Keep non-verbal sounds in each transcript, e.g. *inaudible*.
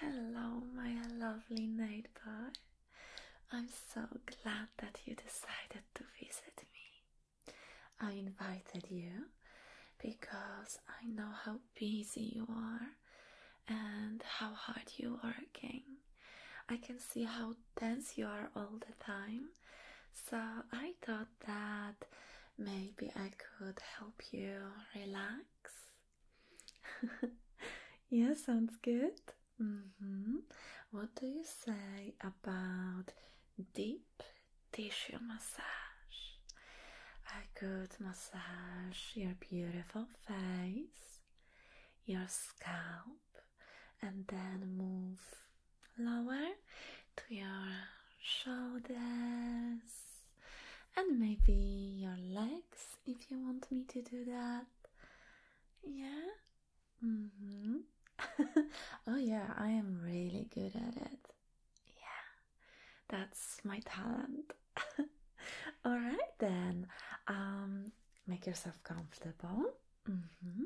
Hello, my lovely neighbor. I'm so glad that you decided to visit me. I invited you because I know how busy you are and how hard you are working. I can see how tense you are all the time. So I thought that maybe I could help you relax relax. *laughs* yeah, sounds good. Mm-hmm. What do you say about deep tissue massage? I could massage your beautiful face, your scalp, and then move lower to your shoulders and maybe your legs if you want me to do that. Yeah? Mm-hmm. *laughs* oh, yeah, I am really good at it. Yeah, that's my talent. *laughs* All right, then. Um, make yourself comfortable. Mm-hmm.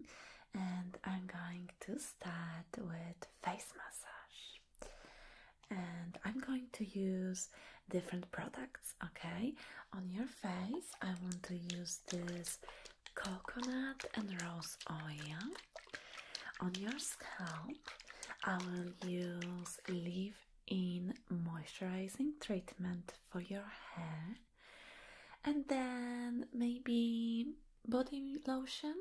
And I'm going to start with face massage and I'm going to use different products. Okay, on your face, I want to use this coconut and rose oil. On your scalp, I will use leave in moisturizing treatment for your hair, and then maybe body lotion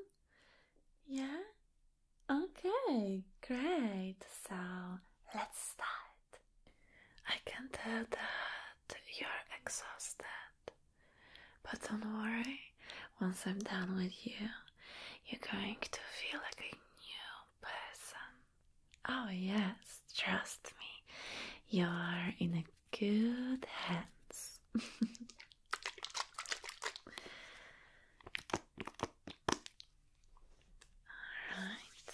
yeah? Okay, great. So let's start. I can tell that you're exhausted, but don't worry, once I'm done with you, you're going to feel like a new person. Oh, yes, trust me, you're in a good hands. *laughs* Alright.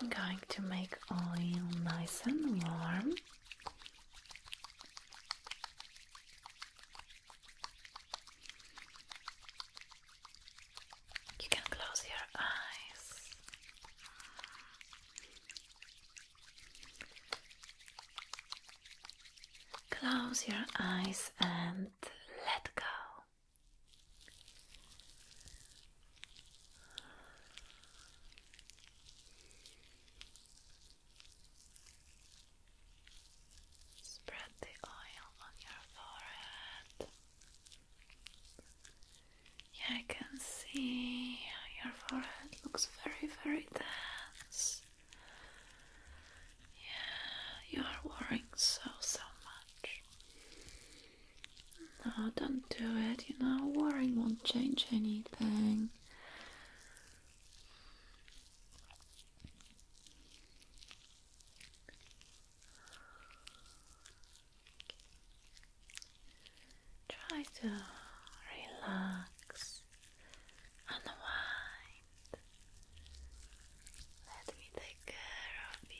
I'm going to make oil nice and warm. You can close your eyes. Close your eyes and let go. Spread the oil on your forehead. Yeah, I can see your forehead looks very, very dense. Yeah, you are worrying so, so much. No, don't do it, you know, worrying won't change anything. Try to relax unwind. Let me take care of you.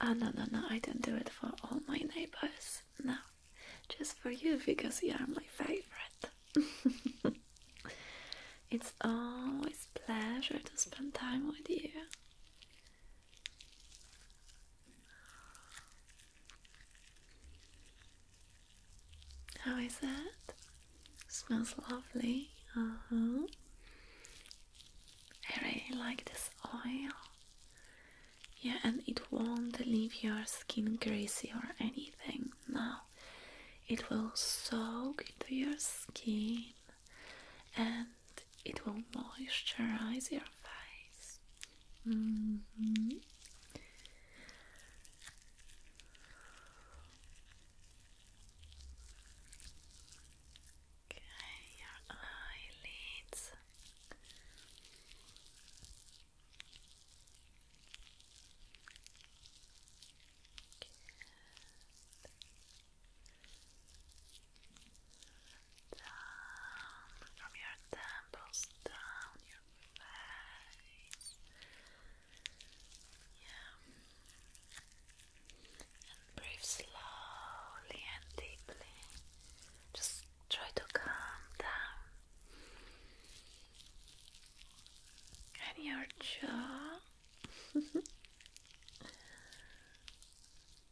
Ah, oh, no, no, no, I don't do it for all my neighbors. No, just for you because you are my favorite. *laughs* it's always pleasure to spend time with you. How is that? Smells lovely. Uh huh. I really like this oil. Yeah, and it won't leave your skin greasy or anything. No, it will soak into your skin and it will moisturize your face. Mm-hmm. your eyelids down from your temples, down your face. Yeah. And breathe slowly and deeply. Just try to calm down. And your jaw. *laughs*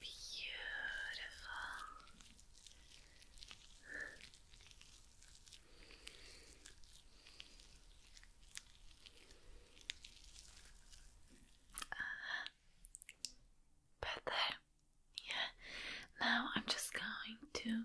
Beautiful. Uh, uh-huh. better. Yeah. Now I'm just going to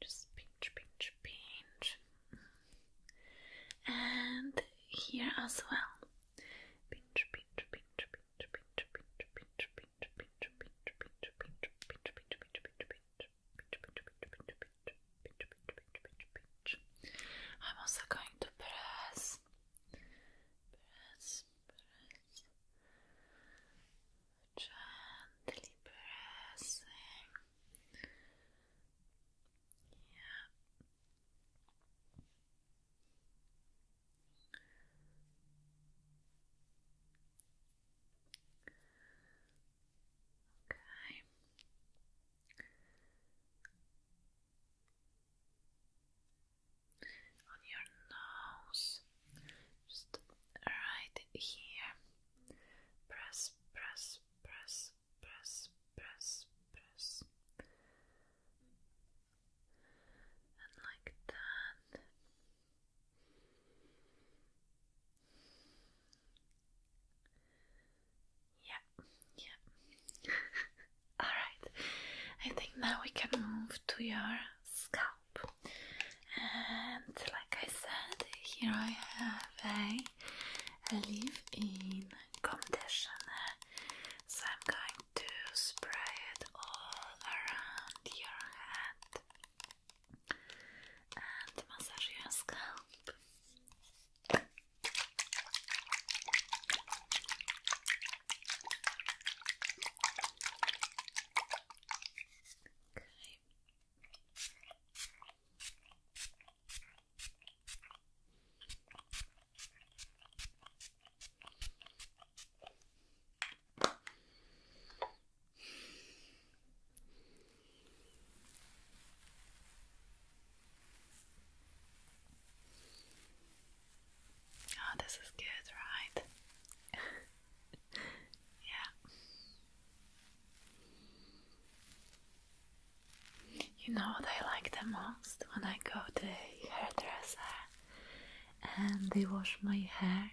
just pinch, pinch, pinch, and here as well. Pinch, pinch, pinch, pinch, pinch, pinch, pinch, pinch, pinch, pinch, pinch, pinch, pinch, pinch, pinch. I'm also going to press, press, press, gently pressing yeah. Okay. On your nose, just right here. Press, press, press, press, press, press. And like that. Yeah, yeah. *laughs* Alright, I think now we can move to your scalp. And like I said, here I have a I leave-in conditioner. So I'm going to spray it all around your head and massage your scalp. Okay. Oh, this is good, right? *laughs* yeah. You know what I like the most when I go to hairdresser and they wash my hair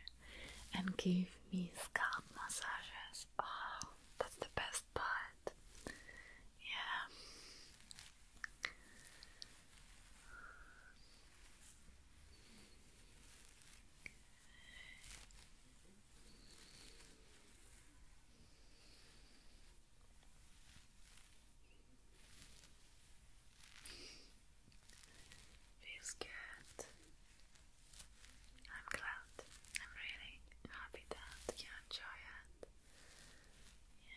and give me scalp massages. Oh, that's the best part. Yeah. Feels good. I'm glad. I'm really happy that you enjoy it. Yeah.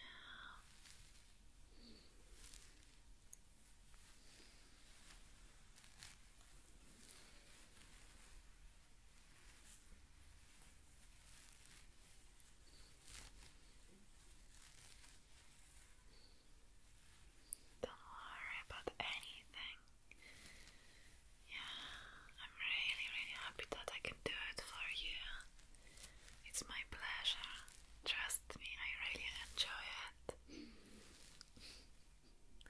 Don't worry about anything. Yeah, I'm really, really happy that I can do it for you. It's my pleasure. Trust me, I really enjoy it. Get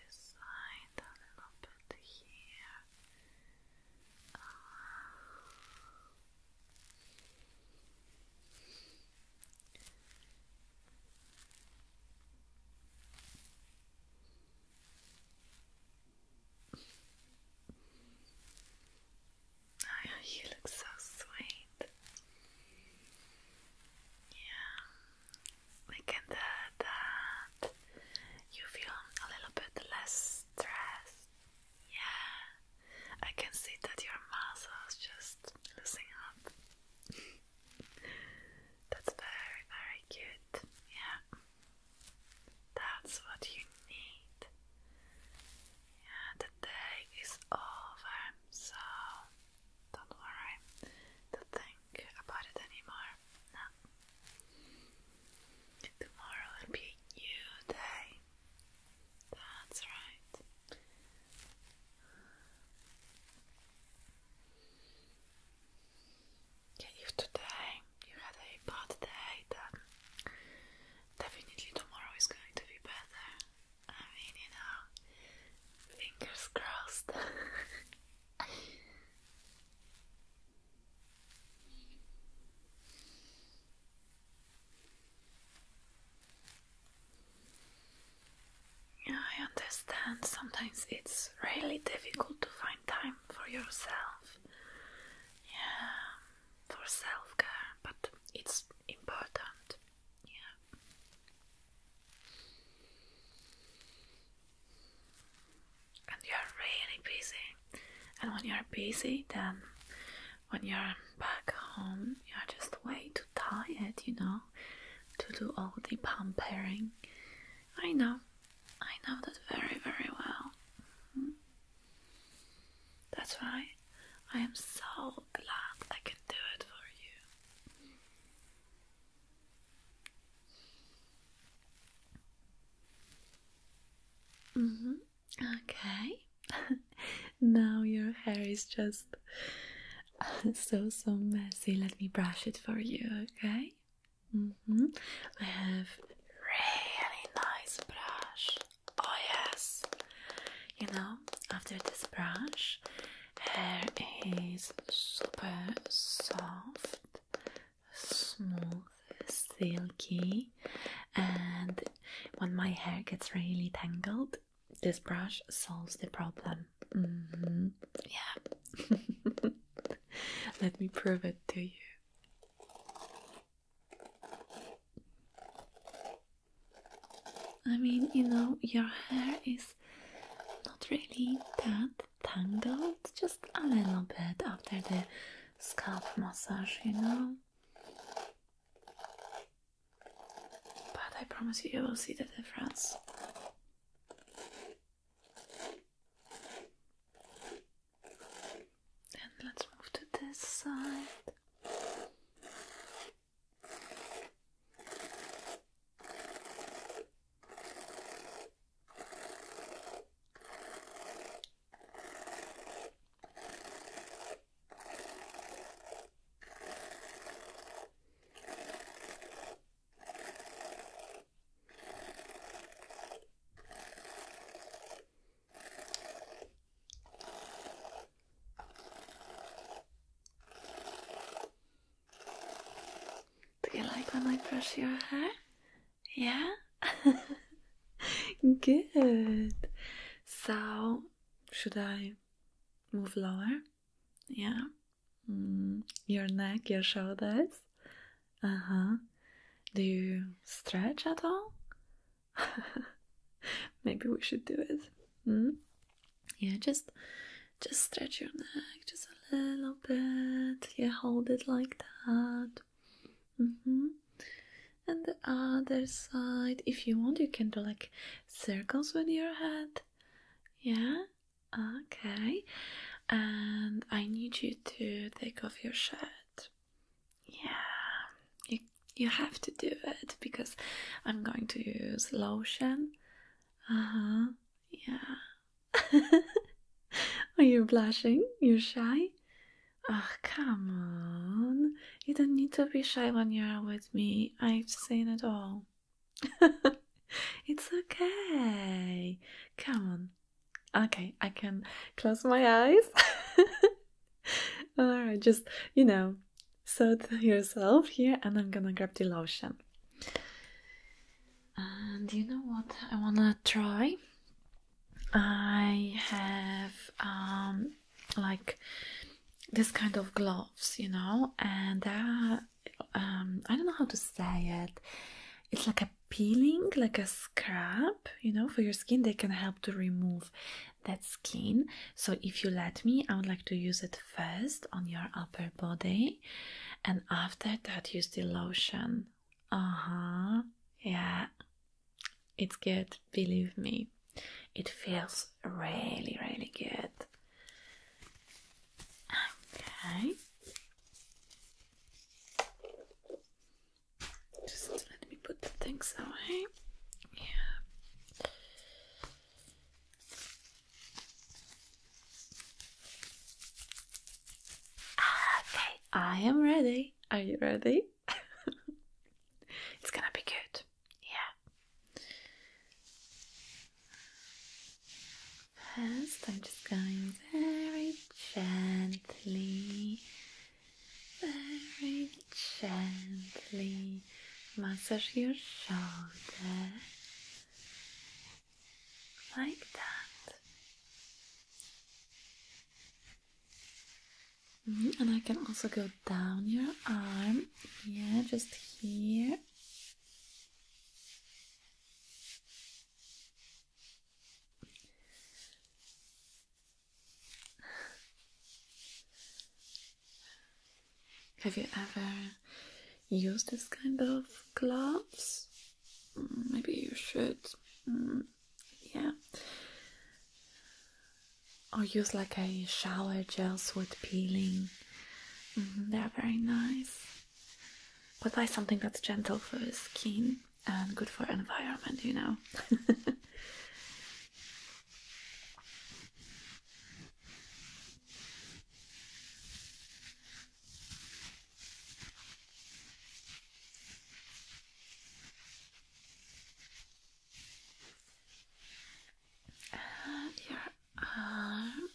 this a little bit here. Uh, Oh, you look so sweet. Yeah, we can do that. You feel a little bit less stressed. Yeah, I can see that your muscles just loosen up. That's very, very good. Yeah. That's what you need. Yeah, the day is over, so don't think about it anymore. No. Tomorrow will be a new day. That's right. Yeah, if today you had a bad day, then definitely tomorrow is going to be better. I mean, you know, fingers crossed. *laughs* I understand sometimes it's really difficult to find time for yourself. Yeah, for self care, but it's important. Yeah. And you're really busy. And when you're busy, then when you're back home, you're just way too tired, you know, to do all the pampering. I know, I know that very, very well. Hmm. That's why I am so glad I can do it for you. Mm-hmm. Okay. *laughs* now your hair is just *laughs* so so messy. Let me brush it for you, okay? -hmm. I have really nice brush. Oh yes. You know, after this brush, hair is super soft, smooth, silky, and when my hair gets really tangled, this brush solves the problem. Mm-hmm. Yeah. *laughs* Let me prove it to you. I mean, you know, your hair is not really that tangled, just a little bit after the scalp massage, you know. But I promise you, you will see the difference. And let's move to this side. Do you like when I brush your hair? Yeah? *laughs* Good. So, should I move lower? Yeah. Mm, your neck, your shoulders. Uh huh. Do you stretch at all? *laughs* Maybe we should do it. Mm? Yeah, just just stretch your neck just a little bit. Yeah, hold it like that. Mm-hmm. And the other side, if you want, you can do like circles with your head. Yeah, Okay, and I need you to take off your shirt. Yeah, you you have to do it because I'm going to use lotion. Uh huh. Yeah. *laughs* Are you blushing? You're shy? Oh, come on. You don't need to be shy when you're with me. I've seen it all. *laughs* it's okay. Come on. Okay, I can close my eyes. *laughs* Alright, just, you know, soothe yourself here, and I'm gonna grab the lotion. And you know what I wanna try? I have um like this kind of gloves, you know, and uh, um, I don't know how to say it. It's like a peeling, like a scrub, you know, for your skin. They can help to remove that skin. So if you let me, I would like to use it first on your upper body, and after that, use the lotion. Uh huh. Yeah, it's good. Believe me, it feels really, really good. Okay. Just let me put the things away. Yeah. Okay, I am ready. Are you ready? *laughs* it's gonna be good. Yeah. First, I'm just going very gently, very gently massage your shoulder like that. Mm-hmm, and I can also go down your arm, yeah, just here. Have you ever used this kind of gloves? Mm, maybe you should. Mm, yeah. Or use like a shower gel with peeling. Mm-hmm, they are very nice. But buy something that's gentle for your skin and good for environment, you know. *laughs* and your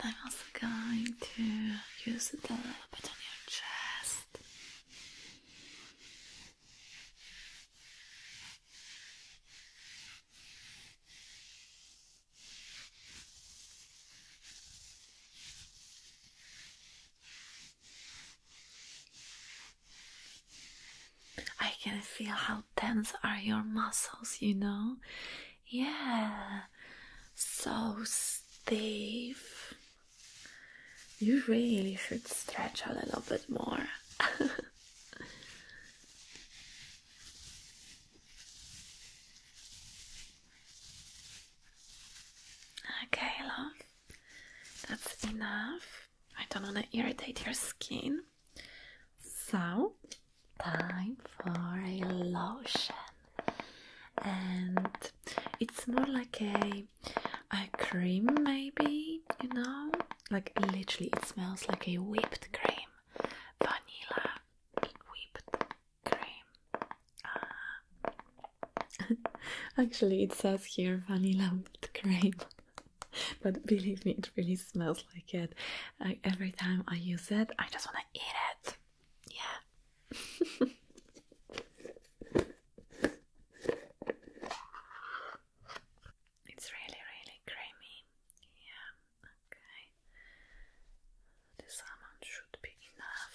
and I'm also going to use it a little bit on your chest. I can feel how tense are your muscles, you know? Yeah, so stiff. You really should stretch a little bit more. *laughs* okay, love, that's enough. I don't want to irritate your skin. So, time for a lotion. And it's more like a, a cream, maybe, you know? Like, literally, it smells like a whipped cream. Vanilla whipped cream. Ah. *laughs* Actually, it says here vanilla whipped cream. *laughs* *laughs* but believe me, it really smells like it. every time I use it, I just want to eat it. Yeah. *laughs* It's really, really creamy. Yeah, okay. This almond should be enough.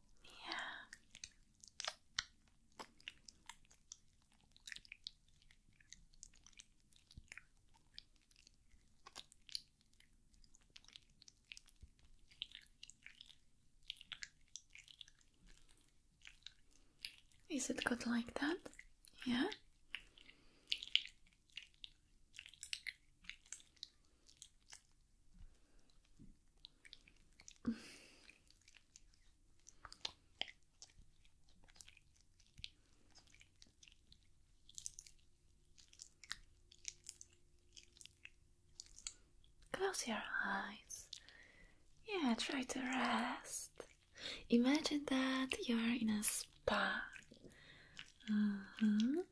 Yeah. Is it good like that? Yeah. Close your eyes. Yeah, try to rest. Imagine that you're in a spa. Uh-huh.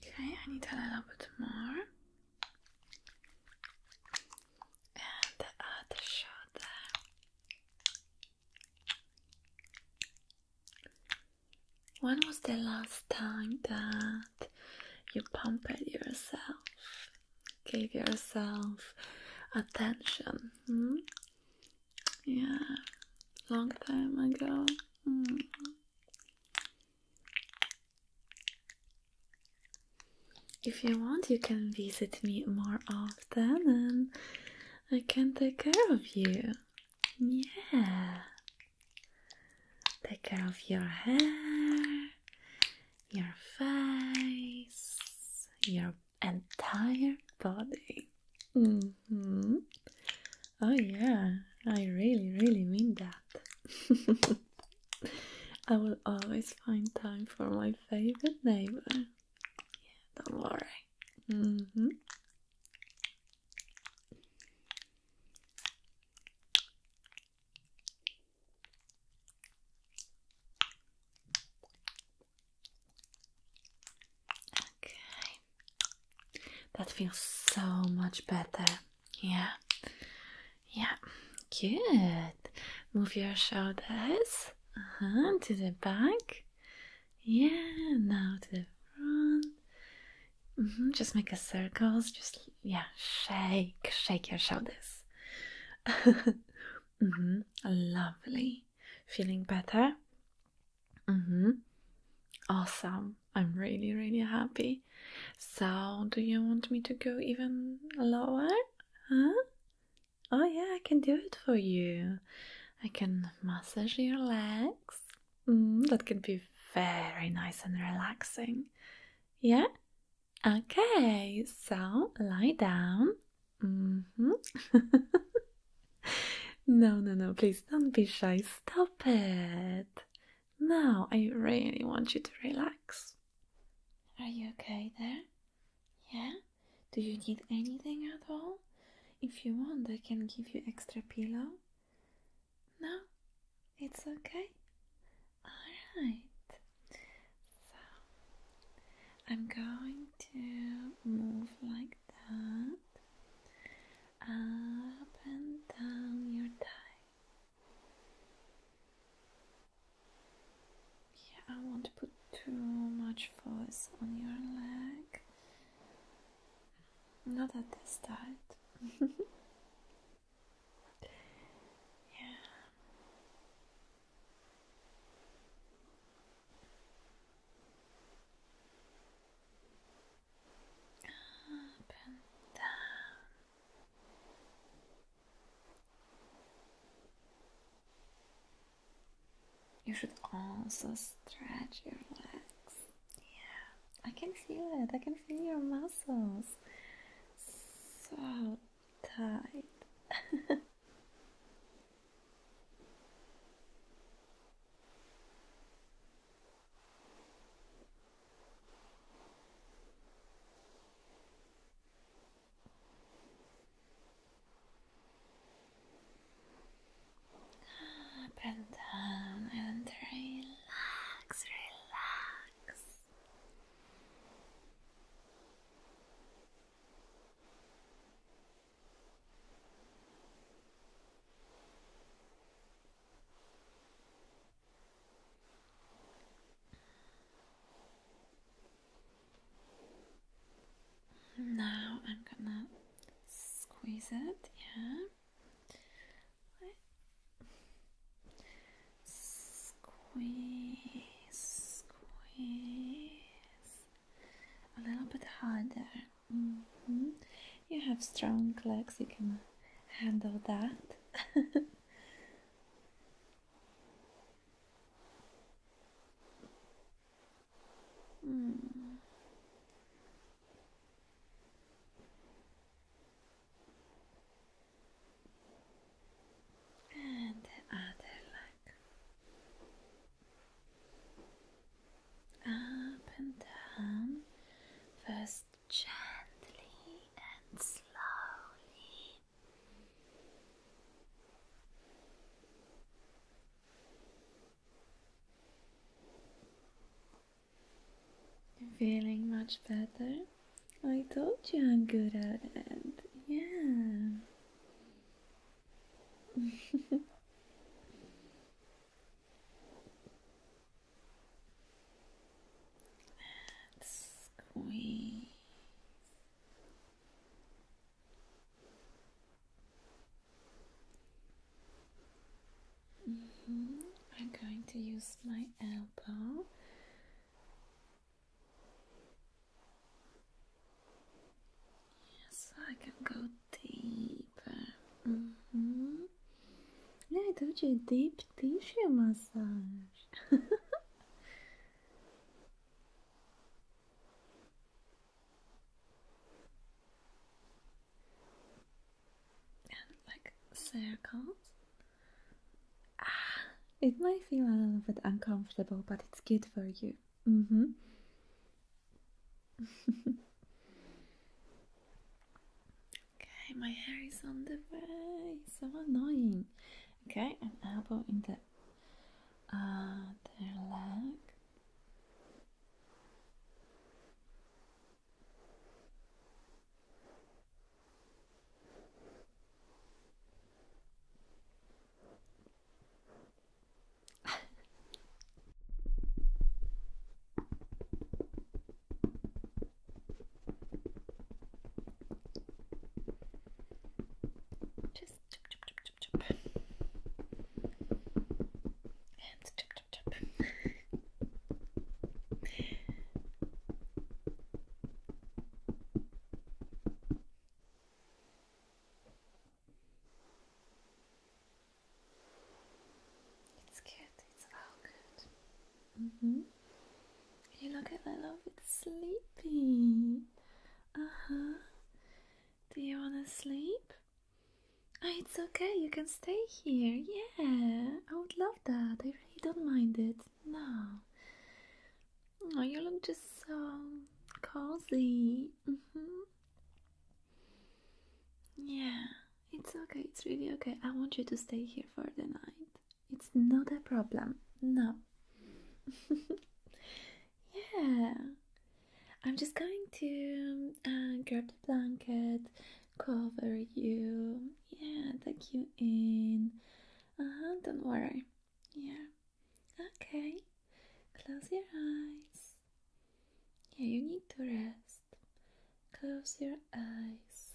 Okay, I need a little bit more. And the other when was the last time that you pumped yourself? Gave yourself attention? Hmm? Yeah, long time ago. Hmm. If you want, you can visit me more often and I can take care of you. Yeah. Take care of your hair, your face, your entire body. Mm-hmm. Oh, yeah, I really, really mean that. *laughs* I will always find time for my favorite neighbor. Yeah, don't worry. Mm-hmm. Okay. That feels so much better. Yeah. Yeah. Good. Move your shoulders uh to the back. Yeah, now to the front. Mm-hmm, just make a circles. Just yeah, shake, shake your shoulders. *laughs* Mm-hmm, lovely. Feeling better? Mm hmm. Awesome. I'm really, really happy. So, do you want me to go even lower? Huh? Oh, yeah, I can do it for you. I can massage your legs. Mm, that can be very nice and relaxing. Yeah? Okay, so lie down. Mm-hmm. *laughs* no, no, no, please don't be shy. Stop it. Now I really want you to relax. Are you okay there? Yeah? Do you need anything at all? If you want, I can give you extra pillow. No? It's okay? Alright. So, I'm going to move like that. Up and down your thigh. Yeah, I won't put too much force on your leg. Not at the start. *laughs* yeah. Up and you should also stretch your legs. Yeah, I can feel it. I can feel your muscles. So tight. *laughs* Up and down and relax, relax. Now I'm gonna squeeze it, yeah. Squeeze, squeeze a little bit harder. Mm-hmm. You have strong legs, you can handle that. *laughs* *laughs* And the other leg. Up and down, first gently and slowly. Feeling much better? I told you I'm good at it. Yeah. *laughs* Let's squeeze. Mm-hmm. I'm going to use my elbow. Yes, I can go deeper. Mm -hmm. Yeah, I told you deep tissue massage. *laughs* like circles. Ah, it might feel a little bit uncomfortable, but it's good for you. Mm hmm. *laughs* okay, my hair is on the way. So annoying. Okay, an elbow in the uh, leg. Just chip, chip, chip, chip, chip. And chip, it's good, it's all good. Mm-hmm. You look a little bit sleepy. Uh huh. Do you want to sleep? Ah, it's okay, you can stay here. Yeah, I would love that. I really don't mind it. No. Oh, you look just so cozy. -hmm. Yeah, it's okay, it's really okay. I want you to stay here for the night. It's not a problem. No. *laughs* yeah. I'm just going to uh, grab the blanket, cover you, yeah, take you in. Uh huh, don't worry. Yeah. Okay. Close your eyes. Yeah, you need to rest. Close your eyes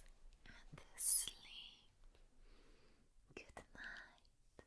and sleep. Good night.